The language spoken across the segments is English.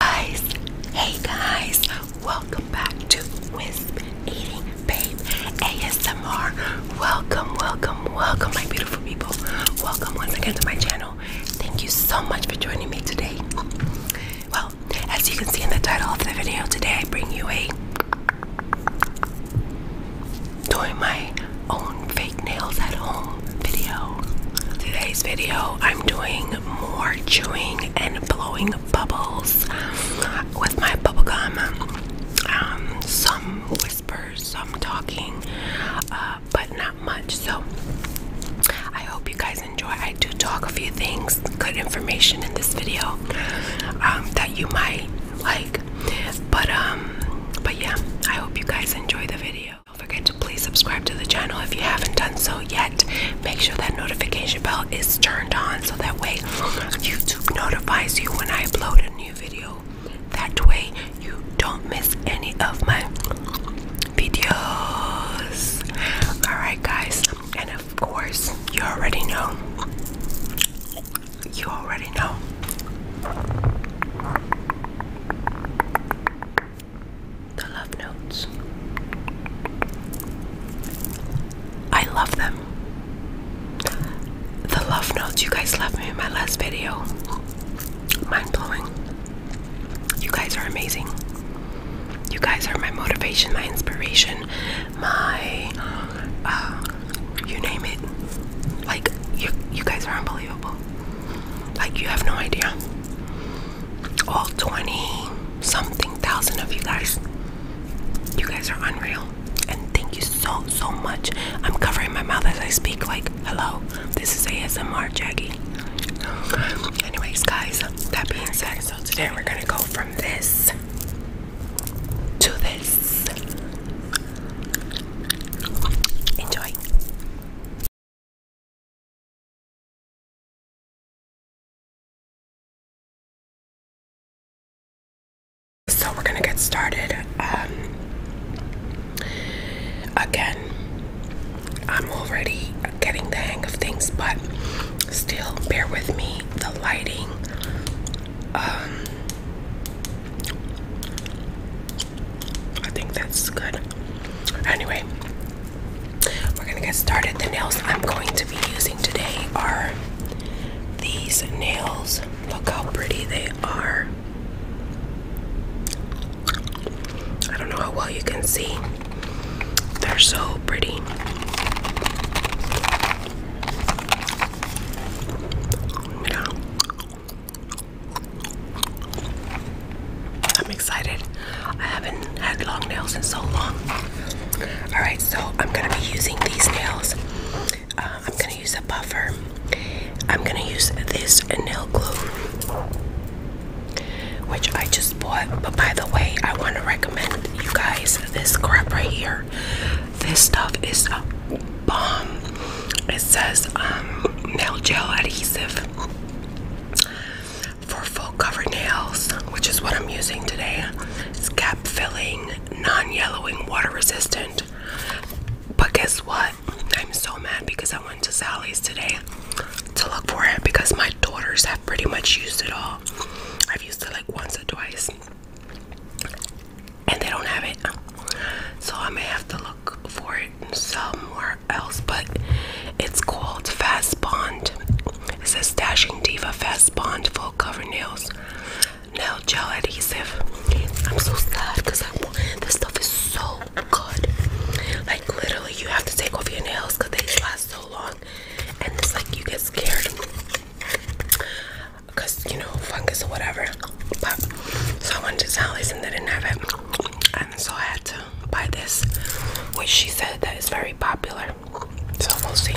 guys, hey guys, welcome back to Wisp Eating Babe ASMR. Welcome, welcome, welcome, my beautiful people. Welcome once again to my channel. Thank you so much for joining me today. Well, as you can see in the title of the video, today I bring you a doing my own fake nails at home video. Today's video, I'm doing more chewing and blowing bubbles with my bubblegum. Um, some whispers, some talking, uh, but not much. So I hope you guys enjoy. I do talk a few things, good information in this video um, that you might like. But um, but yeah, I hope you guys enjoy the video. Don't forget to please subscribe to the channel if you haven't done so yet. Make sure that notification bell is turned on so that way YouTube notifies you when I upload a new video. That way you don't miss any of my videos. Alright, guys, and of course, you already know. You already know. The love notes. I love them. The love notes you guys left me in my last video. Mind blowing. You guys are amazing. You guys are my motivation, my inspiration, my uh, you name it. Like you, you guys are unbelievable. Like you have no idea all 20 something thousand of you guys. You guys are unreal. And thank you so, so much. I'm covering my mouth as I speak, like, hello, this is ASMR Jaggy. Anyways, guys, that being said, so today we're gonna go from this to this. Enjoy. So we're gonna get started. Um, again, I'm already getting the hang of things, but still bear with me. The lighting, um, I think that's good. Anyway, we're gonna get started. The nails I'm going to be using today are these nails. Look how pretty they are. I don't know how well you can see. They're so pretty. I'm excited. I haven't had long nails in so long. Alright, so I'm going to be using these nails. Uh, I'm going to use a buffer. I'm going to use this nail glue, which I just bought. But by the way, I want to recommend you guys this crap right here. This stuff is a bomb. It says um, nail gel adhesive. For full cover nails, which is what I'm using today, it's cap filling, non yellowing, water resistant. But guess what? I'm so mad because I went to Sally's today to look for it because my daughters have pretty much used it all. I've used it like once or twice and they don't have it. So I may have to look for it somewhere else, but it's called Fast Bond. It says Dashing Diva Fast Bond Full Cover Nails. Nail gel adhesive. I'm so sad because I want this stuff is so good. Like literally you have to take off your nails because they last so long and it's like you get scared because you know fungus or whatever. But so I wanted to tell Listen they didn't have it fun, so I had to buy this, which she said that is very popular. So we'll see.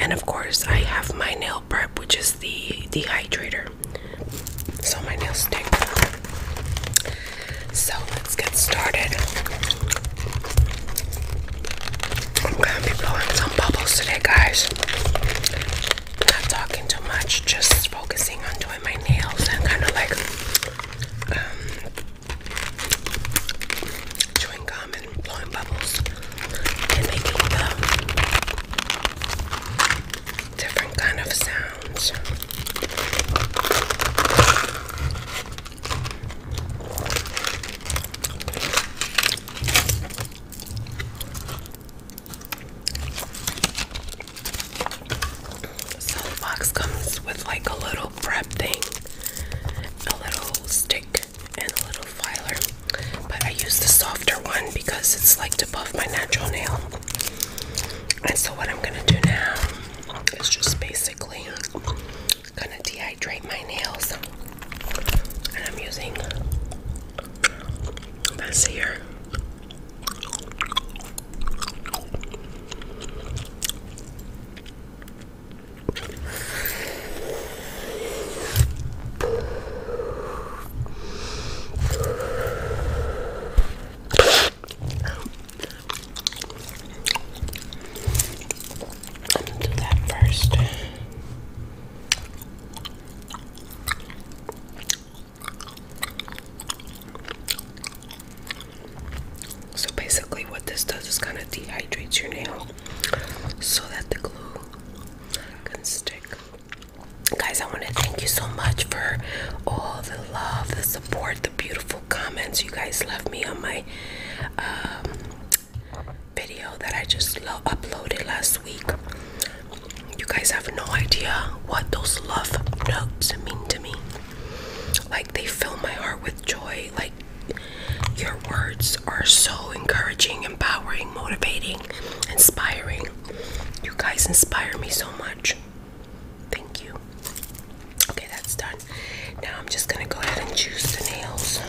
And of course, I have my nail prep, which is the dehydrator. So my nails stick. So let's get started. I'm gonna be blowing some bubbles today, guys not talking too much, just focusing on doing my nails and kind of like um, chewing gum and blowing bubbles and making different kind of sounds. So the box comes with like a little prep thing, a little stick, and a little filer. But I use the softer one because it's like to buff my natural nail. And so what I'm gonna do now is just basically gonna dehydrate my nails. And I'm using this here I'm gonna do that first. So basically what this does is kind of dehydrates your nail so that the glue can stick. Guys, I want to thank you so much for all the love, the support, the beautiful comments you guys left me on my um, video that I just uploaded last week. You guys have no idea what those love notes mean to me. Like they fill my heart with joy. Like your words are so encouraging, empowering, motivating, inspiring. You guys inspire me so much. Thank you. Okay, that's done. Now I'm just gonna go ahead and choose the nails.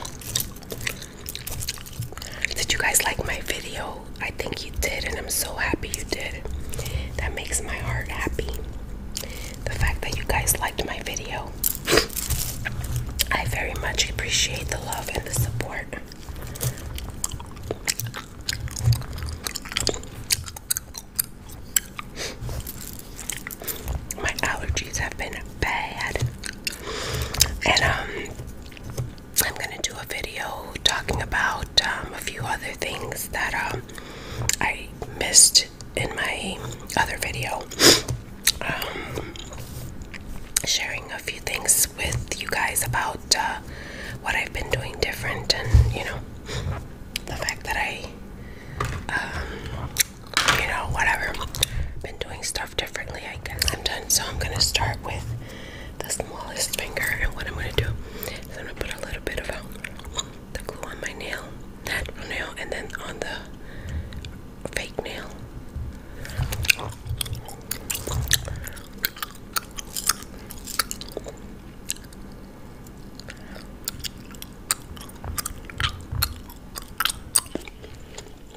Did you guys like my video? I think you did, and I'm so happy you did. That makes my heart happy. The fact that you guys liked my video. I very much appreciate the love and the support. My allergies have been bad. And um I'm gonna do a video talking about um, a few other things that um, I missed in my other video. Um, sharing a few things with you guys about uh, what I've been doing different, and you know, the fact that I, you know, whatever, been doing stuff differently. I guess I'm done, so I'm gonna start with the smallest finger. And what I'm gonna do is I'm gonna put a little bit of um, the glue on my nail, natural nail, and then on the fake nail.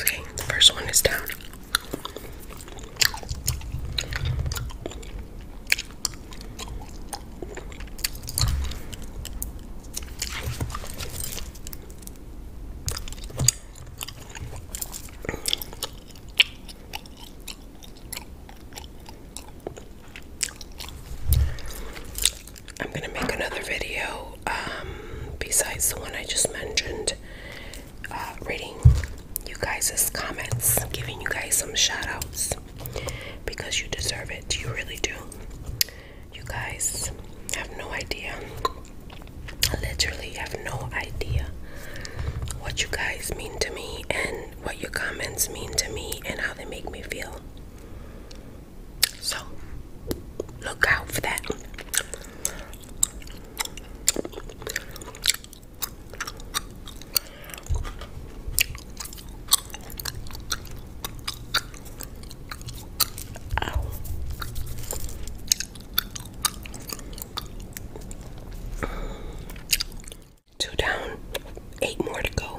Okay, the first one is down. I'm gonna make another video um, besides the one I just mentioned, uh, reading you guys' comments, giving you guys some shoutouts because you deserve it. You really do. You guys have no idea. I literally have no idea what you guys mean to me and what your comments mean to me and how they make me feel. So look out for that. Two down eight more to go.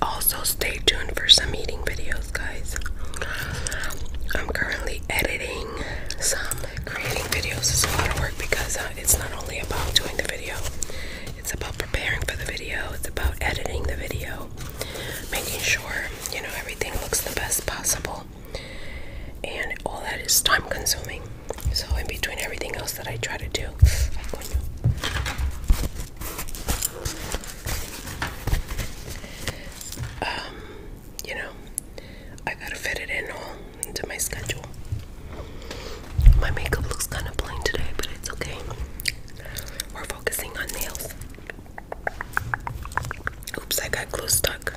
Also, stay tuned for some eating videos, guys. I'm currently editing some creating videos. It's a lot of work because uh, it's not only about doing the video, it's about preparing for the video, it's about editing the video, making sure you know everything looks the best possible, and all that is time consuming. So in between everything else that I try to do, um, you know, I gotta fit it in all into my schedule. My makeup looks kind of plain today, but it's okay. We're focusing on nails. Oops, I got glue stuck.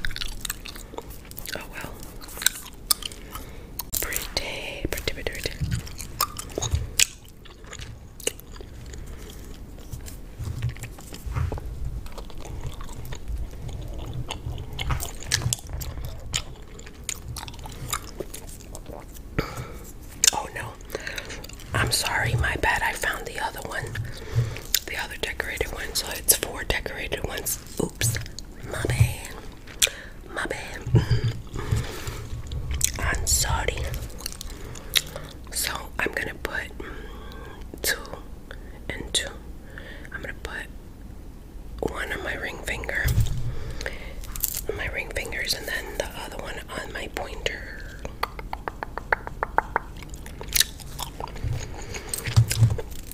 Oh well. Pretty, pretty, pretty, pretty. Oh no, I'm sorry, my bad. I found the other one, the other decorated one. So it's four decorated ones. Oops, my bad. My bad. Mm-hmm. I'm sorry. So I'm gonna put two and two. I'm gonna put one on my ring finger. My ring fingers and then the other one on my pointer.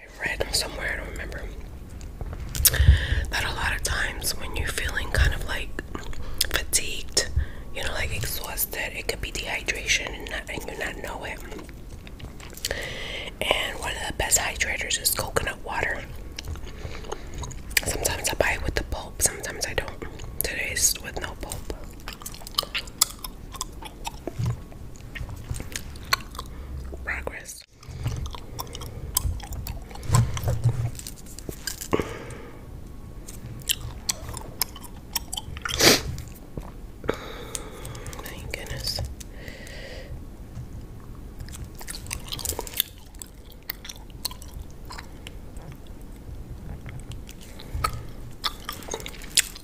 I read somewhere, I don't remember, that a lot of times when you're feeling kind of like fatigued, you know, like exhausted, it could be dehydration and, not, and you not know it. And one of the best hydrators is coconut water. Sometimes I buy it with the pulp, sometimes I don't. Today's with no pulp. Progress. Thank goodness.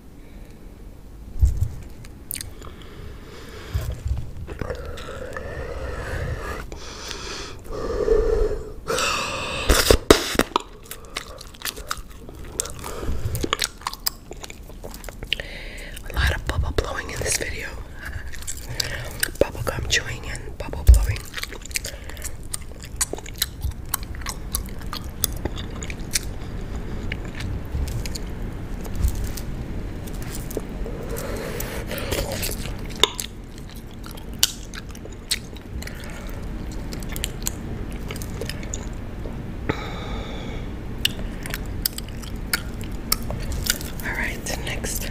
A lot of bubble blowing in this video. Bubble gum chewing and bubble blowing. All right, next.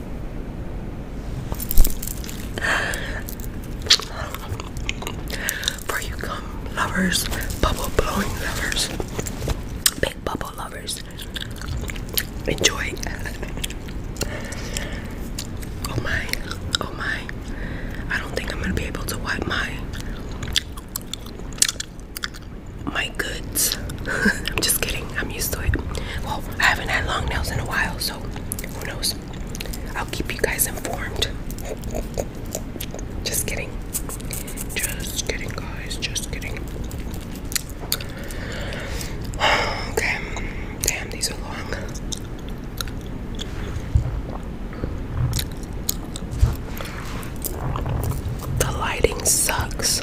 For you gum lovers, bubble blowing lovers, big bubble lovers, enjoy. Oh my, oh my. I don't think I'm gonna be able to wipe my my goods. I'm just kidding. I'm used to it. Well, I haven't had long nails in a while, so who knows? I'll keep you guys informed. Just kidding. Just kidding, guys. Just kidding. Okay. Damn, these are long. The lighting sucks.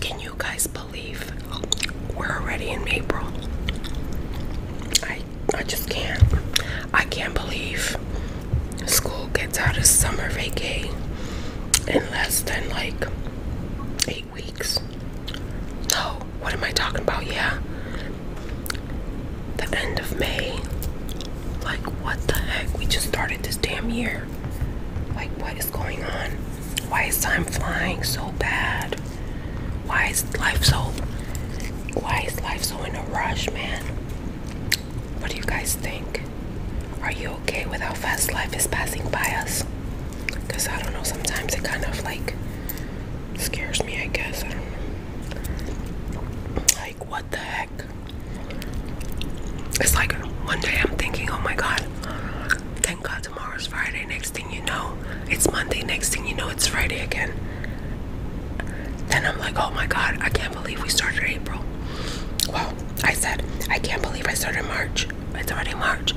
Can you guys believe we're already in April? I I just can't. I can't believe school gets out of summer vacay in less than like eight weeks. No, what am I talking about? Yeah. The end of May. Like what the heck? We just started this damn year. Like what is is going on? Why is time flying so bad? Why is life so why is life so in a rush, man? What do you guys think? Are you okay with how fast life is passing by us? Cause I don't know, sometimes it kind of like scares me, I guess. I don't know. Like what the heck? It's like one day I'm thinking, oh my god, God tomorrow's Friday. Next thing you know, it's Monday. Next thing you know, it's Friday again. Then I'm like, oh my God, I can't believe we started April. Well, I said, I can't believe I started March. It's already March.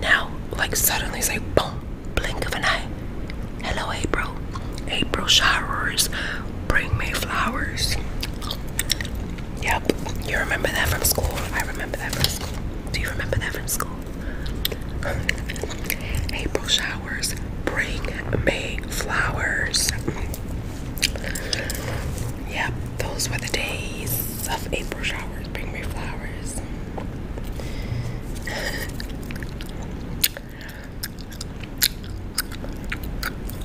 Now, like suddenly it's like, boom, blink of an eye. Hello, April. April showers bring me flowers. Yep. You remember that from school? I remember that from school. Do you remember that from school? April showers bring May flowers. Yep, those were the days of April showers bring May flowers.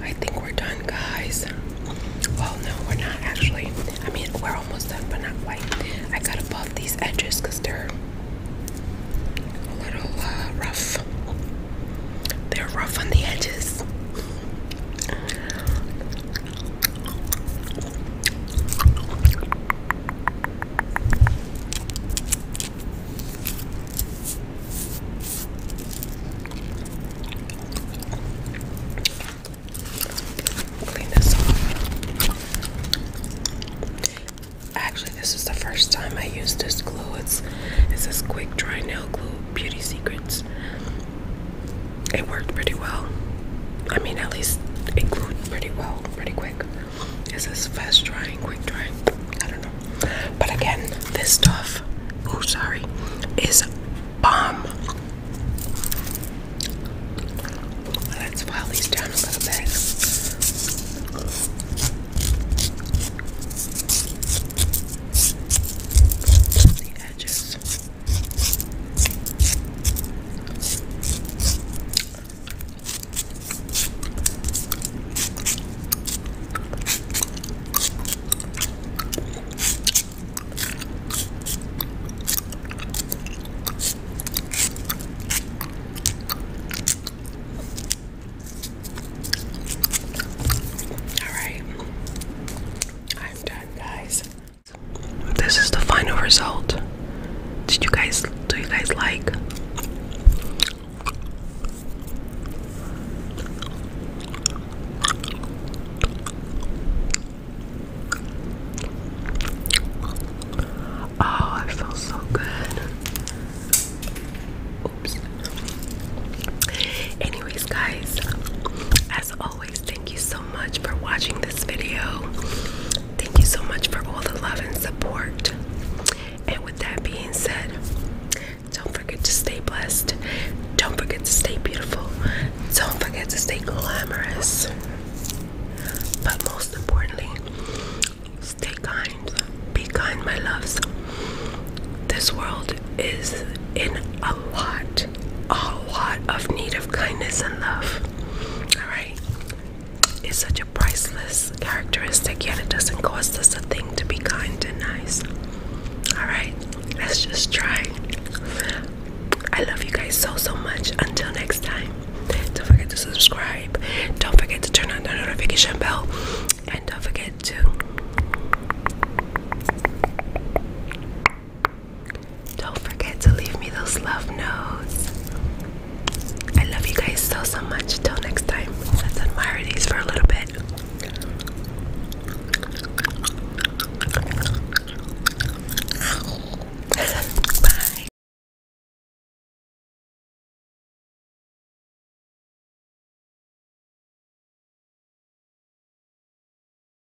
I think we're done, guys. Well, no, we're not actually. I mean, we're almost done, but not quite. I gotta buff these edges because they're a little uh, rough. They're rough on the edges. Actually, this is the first time I used this glue. It's it's this quick dry nail glue, Beauty Secrets it worked pretty well. I mean, at least it glued pretty well, pretty quick. Is this fast drying, quick drying? I don't know. But again, this stuff, oh sorry, is bomb. Let's file these down a little bit. The edges. All right, I'm done, guys. This is the final result. Did you guys do you guys like? Oh, it feels so good. Oops. Anyways, guys, as always, thank you so much for watching this video. Thank you so much for all the love and support. And with that being said, don't forget to stay blessed. Don't forget to stay beautiful. Don't forget to stay glamorous. But most importantly, stay kind. Be kind, my loves. This world is in a lot a lot of need of kindness and love. Alright? It's such a priceless characteristic, yet it doesn't cost us a thing to be kind and nice. Alright? Let's just try. I love you guys so, so much. Until next time, don't forget to subscribe. Don't forget to turn on the notification bell. And don't forget to. Don't forget to leave me those love notes. I love you guys so, so much. Till next time, let's admire these for a little bit. Bye.